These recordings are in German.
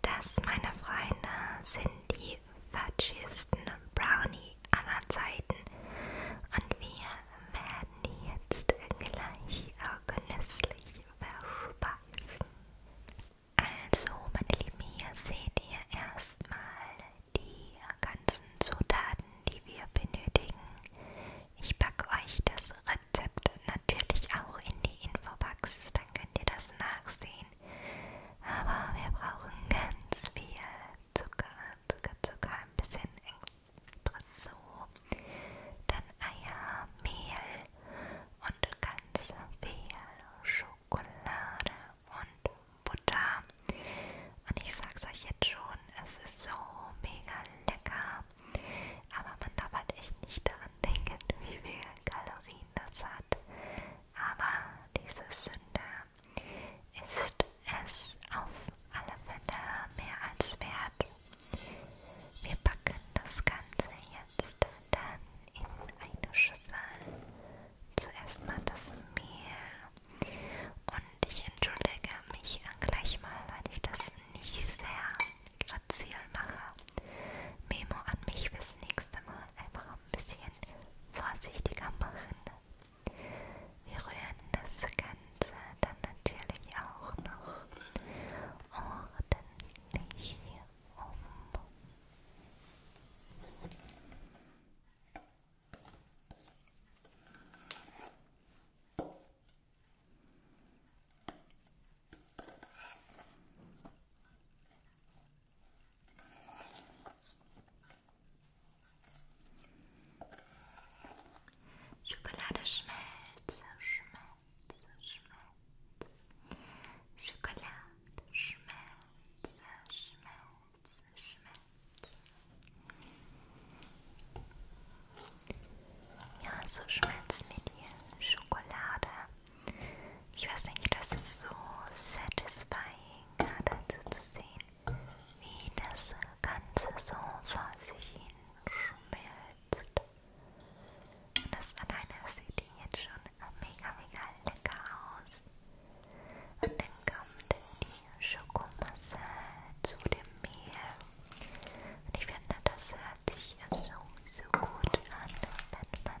Das, meine Freunde, sind die fatschigsten Brownie aller Zeiten. Und wir werden die jetzt gleich auch genüsslich verspeisen. Also, meine Lieben, hier seht ihr erstmal die ganzen Zutaten, die wir benötigen. Ich packe euch das Rezept natürlich auch in die Infobox. Dann könnt ihr das nachsehen. Aber wir brauchen ganz viel Zucker, Zucker, Zucker, ein bisschen Espresso, dann Eier, Mehl und ganz viel Schokolade und Butter. Und ich sag's euch jetzt schon, es ist so mega lecker. Aber man darf halt echt nicht daran denken, wie viele Kalorien das hat. Aber diese Sünde ist es auf alle Fälle mehr als wert. Wir packen das Ganze jetzt dann in eine Schüssel. Zuerst mal das Mehl. Und ich entschuldige mich gleich mal, weil ich das nicht sehr Grazilmacher. Memo an mich fürs nächste Mal einfach ein bisschen vorsichtiger machen. Wir rühren das Ganze dann natürlich auch noch ordentlich um. Schokolade schmelze, schmelze, schmelze. Schokolade schmelze, schmelze, schmelze. Ja, so schmelzt mit dir Schokolade ich weiß nicht, das ist so satisfying, dazu zu sehen, wie das Ganze so vor sich hin schmilzt. Und das alleine sieht die jetzt schon mega, mega lecker aus. Und dann kommt die Schokomasse zu dem Mehl. Und ich finde, das hört sich so, so gut an, wenn man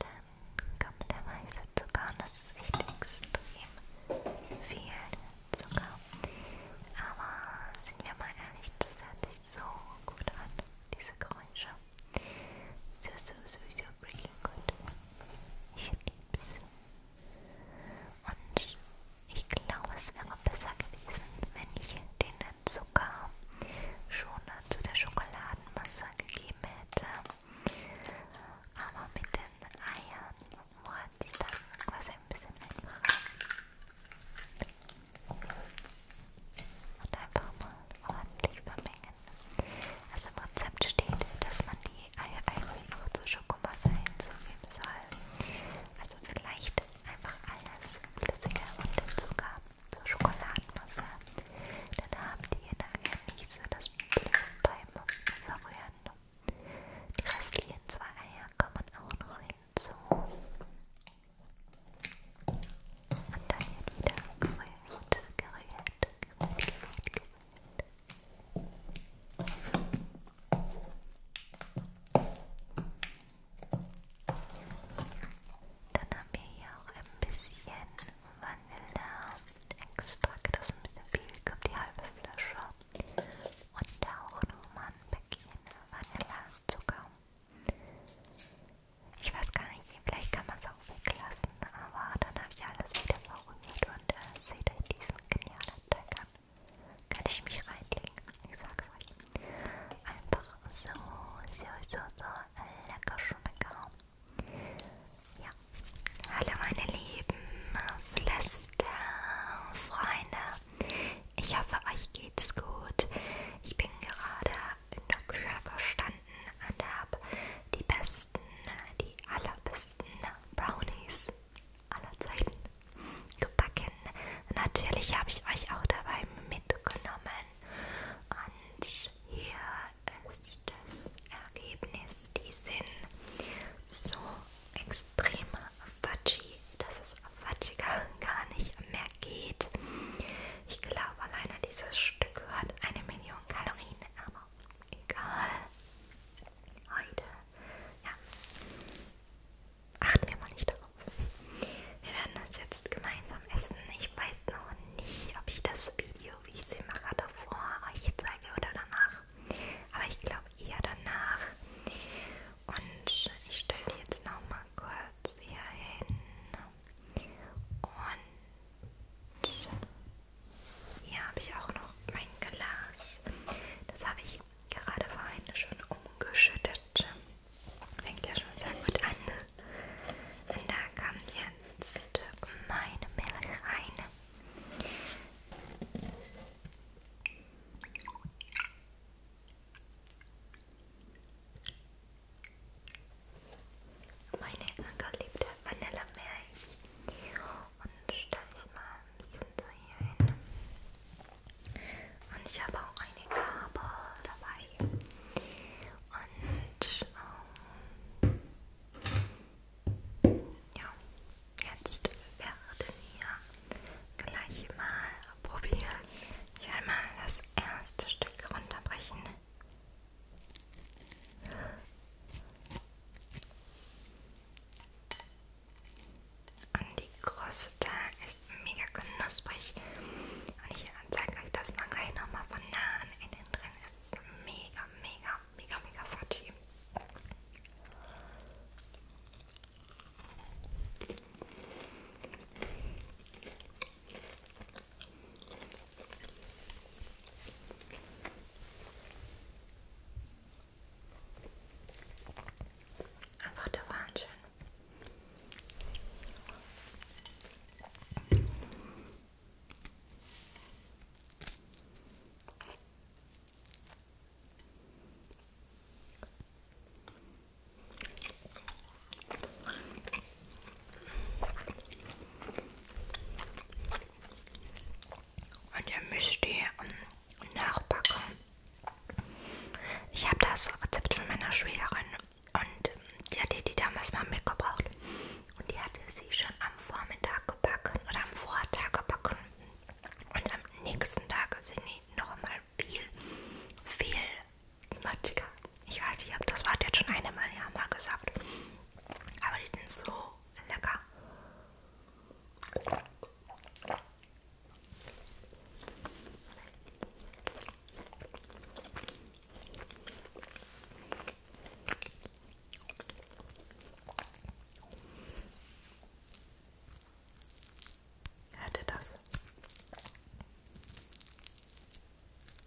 Dann kommt der weiße Zucker und das ist echt extrem viel Zucker. Aber sind wir mal ehrlich, das hört sich so gut an, diese Geräusche. So, so, so, so pretty. Gut. Ich lieb's. Und ich glaube, es wäre besser gewesen, wenn ich den Zucker schon zu der Schokoladenmasse gegeben hätte. Aber mit den Eiern wurde es dann quasi ein bisschen einfacher. Und einfach mal ordentlich vermengen. Also im Rezept steht, dass man die Eier noch zu Schokomasse hinzugeben soll. Also vielleicht einfach alles flüssiger und den Zucker zur Schokoladenmasse. Dann haben die nachher nicht so das Problem beim Verrühren. Die restlichen zwei Eier kommen auch noch hinzu. Und dann wird wieder gerührt, gerührt, gerührt, gerührt, gerührt. Dann haben wir hier auch ein bisschen Vanilleextrakt, das ist ein bisschen viel, ich glaube die halbe Flasche. Und auch nochmal ein Päckchen Vanillezucker. Ich weiß gar nicht, vielleicht kann man es auch auch weglassen, aber dann habe ich alles wieder verrührt und äh, seht euch diesen genialen Teig an. Kann ich mich reinlegen? Ich sag's euch. Einfach so, so, so, so lecker schmecker. Ja. Hallo meine lieben Flüsterfreunde. Ich hoffe, euch geht's gut. Ich bin gerade in der Küche gestanden Freunden und habe die besten, die allerbesten Brownies aller Zeiten gebacken. Natürlich habe ich euch auch dabei mitgenommen. Und hier ist das Ergebnis. Die sind so extrem fudgy, dass es fudgiger gar nicht mehr geht. Ich glaube, alleine dieses Stück hat eine Million Kalorien, aber egal. Heute, ja, achten wir mal nicht darauf. Wir werden das jetzt gemeinsam essen. Ich weiß noch nicht, ob ich das Video, wie ich es mache, davor euch zeige oder danach. Aber ich glaube eher danach. Und ich stelle jetzt noch mal kurz hier hin. Und hier habe ich auch noch mein Glas. Das habe ich gerade vorhin schon umgeschüttet. Fängt ja schon sehr gut an. Und da kommt jetzt meine Milch rein. Meine angeliebte Vanillemilch und stelle ich mal ein bisschen so hier hin. Und ich habe auch eine Gabel dabei. Und ähm, ja, jetzt werden wir gleich mal probieren. Ich werde mal das erste Stück runterbrechen. Und die Kruste ist mega knusprig. Und ich zeige euch das mal gleich nochmal von nahen. Innen drin ist es mega, mega, mega, mega fudgy. Einfach der Wahnsinn. Und ihr müsst die ähm, nachbacken. Ich habe das Rezept von meiner Schwägerin und ähm, die hat die damals mal mitgebracht. Und die hatte sie schon am Vormittag gebacken oder am Vortag gebacken. Und am nächsten Tag sind die nochmal viel, viel smatschiger. Ich weiß nicht, ob das Wort jetzt schon eine Mal ja mal gesagt. Aber die sind so lecker. Hört ihr das?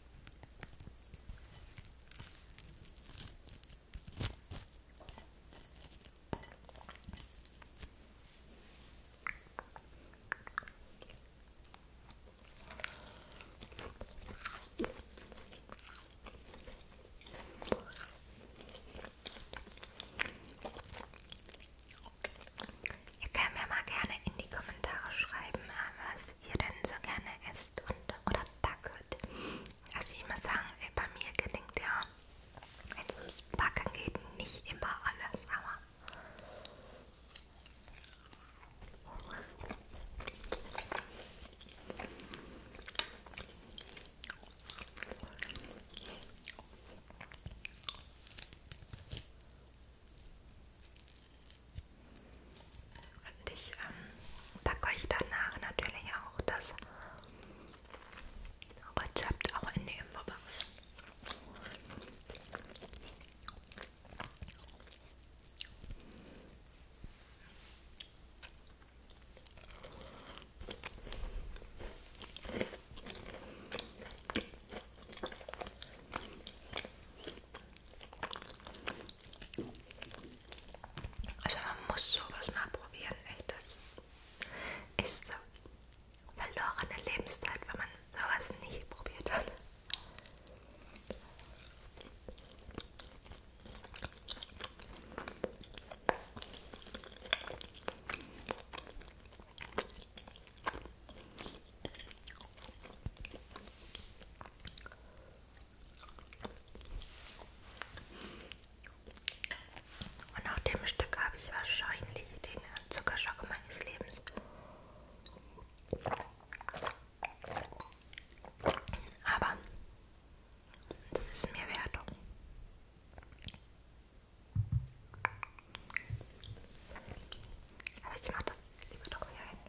Ihr könnt mir mal gerne in die Kommentare schreiben, äh, was was ihr denn so gerne esst und, oder backet. Also ich muss sagen, äh, bei mir gelingt ja, wenn es ums Backen geht, nicht immer alles, aber... Und ich ähm, packe euch danach natürlich auch das Rezept auch in die Infobox. Also man muss sowas mal probieren, echt. Das ist so verlorene Lebenszeit, wenn man sowas nie probiert hat. Und nach dem Stück habe ich wahrscheinlich den Zuckerschock meines Lebens. Aber das ist mir wert. Aber ich mache das lieber doch hier hin.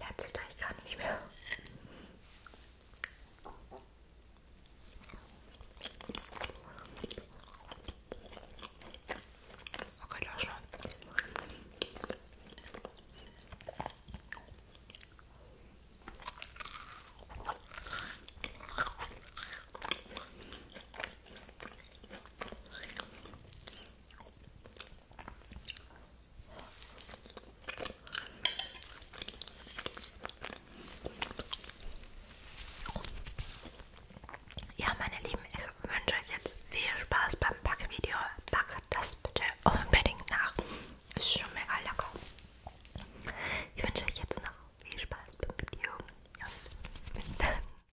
Letzter, ich kann nicht mehr. Okay, lass mal. Ja, meine Lieben, ich wünsche euch jetzt viel Spaß beim Backvideo. Packt das bitte unbedingt nach. Ist schon mega lecker. Ich wünsche euch jetzt noch viel Spaß beim Video. Und bis dann.